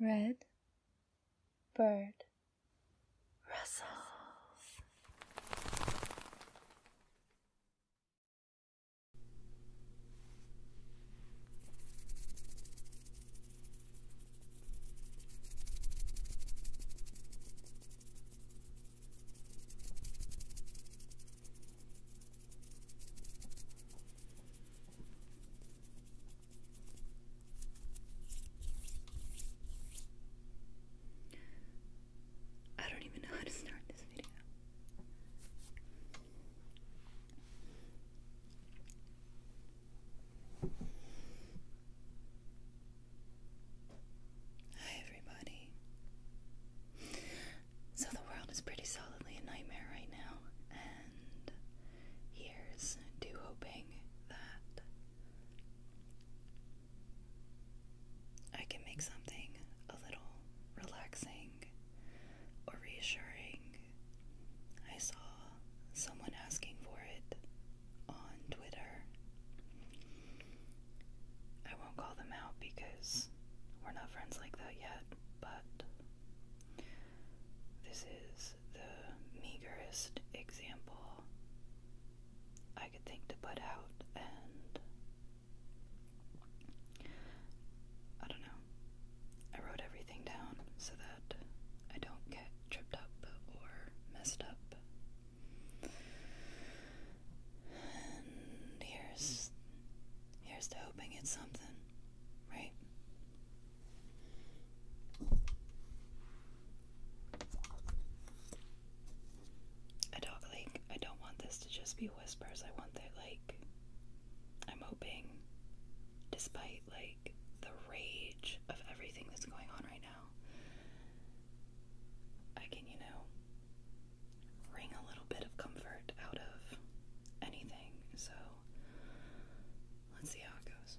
Red bird rustles. I don't even know how to start this video. Hi, everybody. So, the world is pretty solidly a nightmare right now, and years do hoping that I can make something a little relaxing or reassuring. I saw someone asking for it on Twitter. I won't call them out because we're not friends like that yet, but this is the meagerest example I could think to put out, and I don't know. I wrote everything down so that I don't get tripped up or messed up. And here's here's hoping it's something, right? I don't like I don't want this to just be whispers. I want that like I'm hoping despite like the rage of everything that's going on right now I can, you know, wring a little bit of comfort out of anything. So let's see how it goes.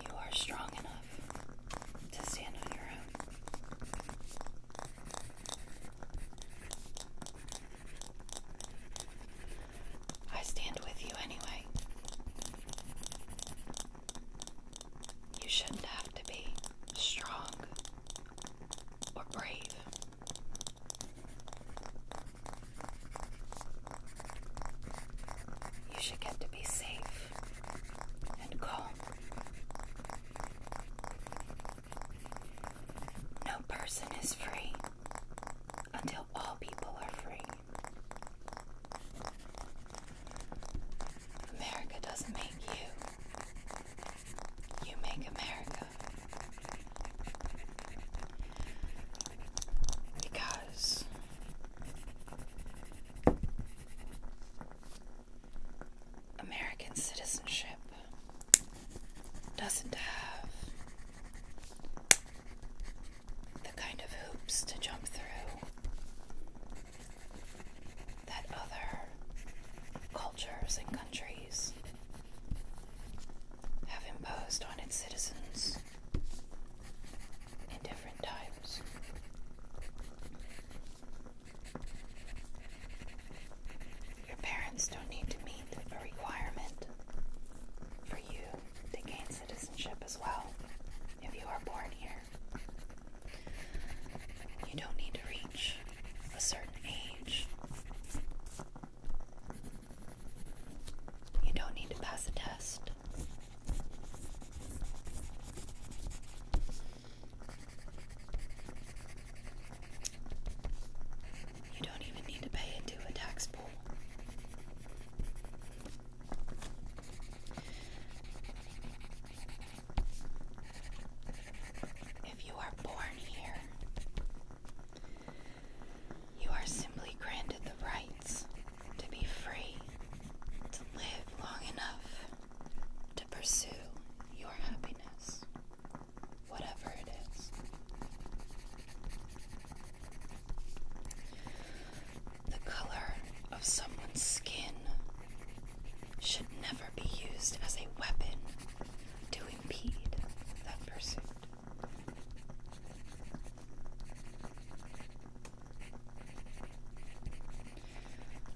You are strong enough to stand on your own. I stand with you anyway. You shouldn't have to be strong or brave you should get to be safe and calm. No person is free until all people are free. America doesn't make you, you make America. Because American citizenship doesn't have the kind of hoops to jump through that other cultures and countries have imposed on its citizens in different times. Your parents don't need to meet a requirement for you to gain citizenship as well if you are born here. You don't need to reach a certain age you don't need to pass a test. You don't even need to pay into a tax pool. If you are born here, you are simply granted the rights to be free, to live long enough to pursue your happiness, whatever it is. The color of someone's skin should never be used as a weapon to impede that pursuit.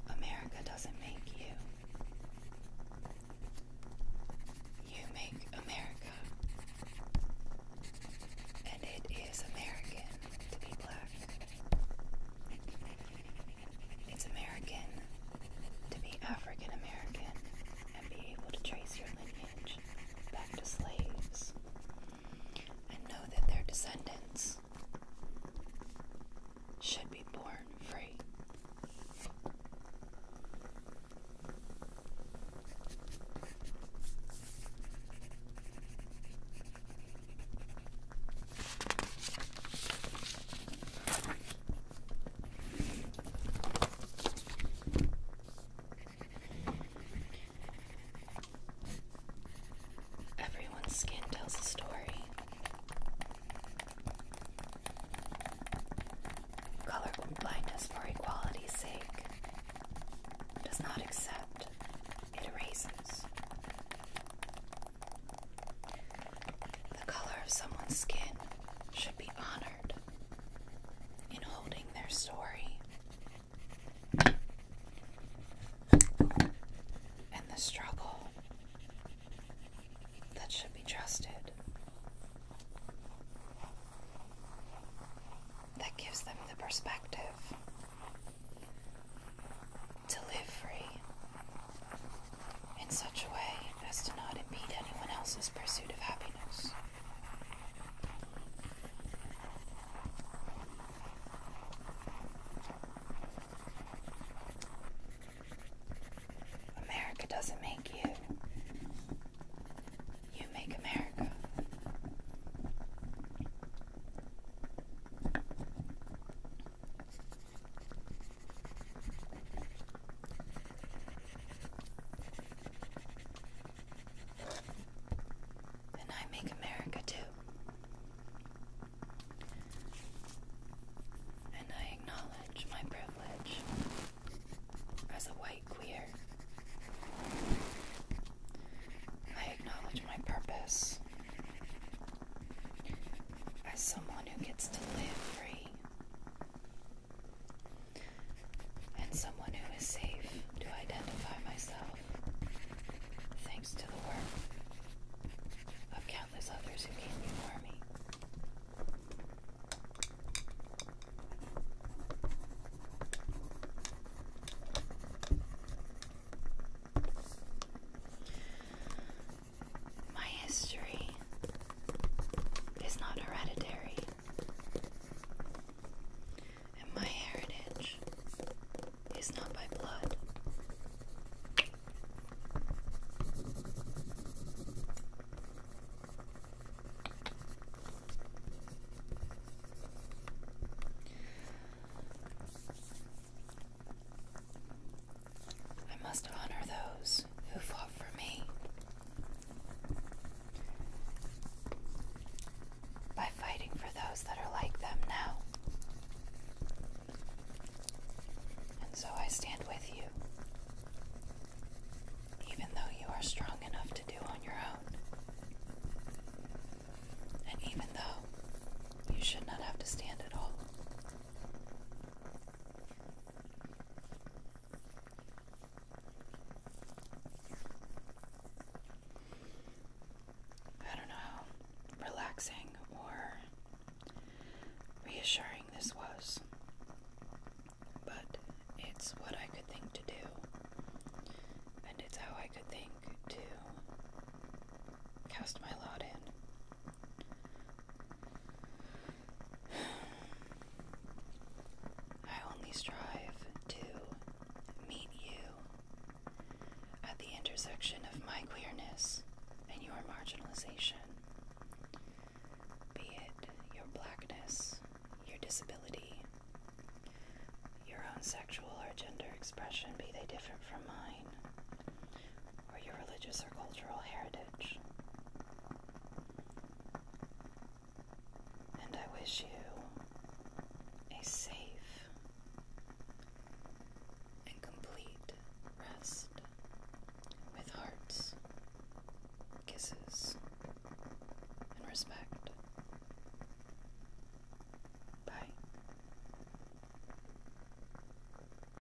America doesn't make you. You make America. And it is American to be black. It's American to be African American and be able to trace your lineage back to slaves and know that their descendants should be born free. Everyone's skin tells a story. Color blindness for equality's sake does not accept, it erases. The color of someone's skin should be honored in holding their story. And the struggle that should be trusted. That gives them the perspective to live free in such a way as to not impede anyone else's pursuit of happiness. America doesn't make you. You make America. Then I make America too. And I acknowledge my privilege as a white queer. I acknowledge my purpose as someone who gets to live free and someone who is safe to identify myself thanks to the work of countless others who came before me. My history is not hereditary, and my heritage is not by blood. I must honor those who fought for me. By fighting for those that are like them now. And so I stand with you, even though you are strong enough to do on your own, and even though you should not have to stand at all. I don't know, relaxing or reassuring this was, but it's what I could think to do, and it's how I could think to cast my lot in. I only strive to meet you at the intersection of my queerness and your marginalization, be it your blackness, your disability, your own sexual or gender expression, be they different from mine, or your religious or cultural heritage. And I wish you a safe and complete rest with hearts, kisses, and respect. Bye.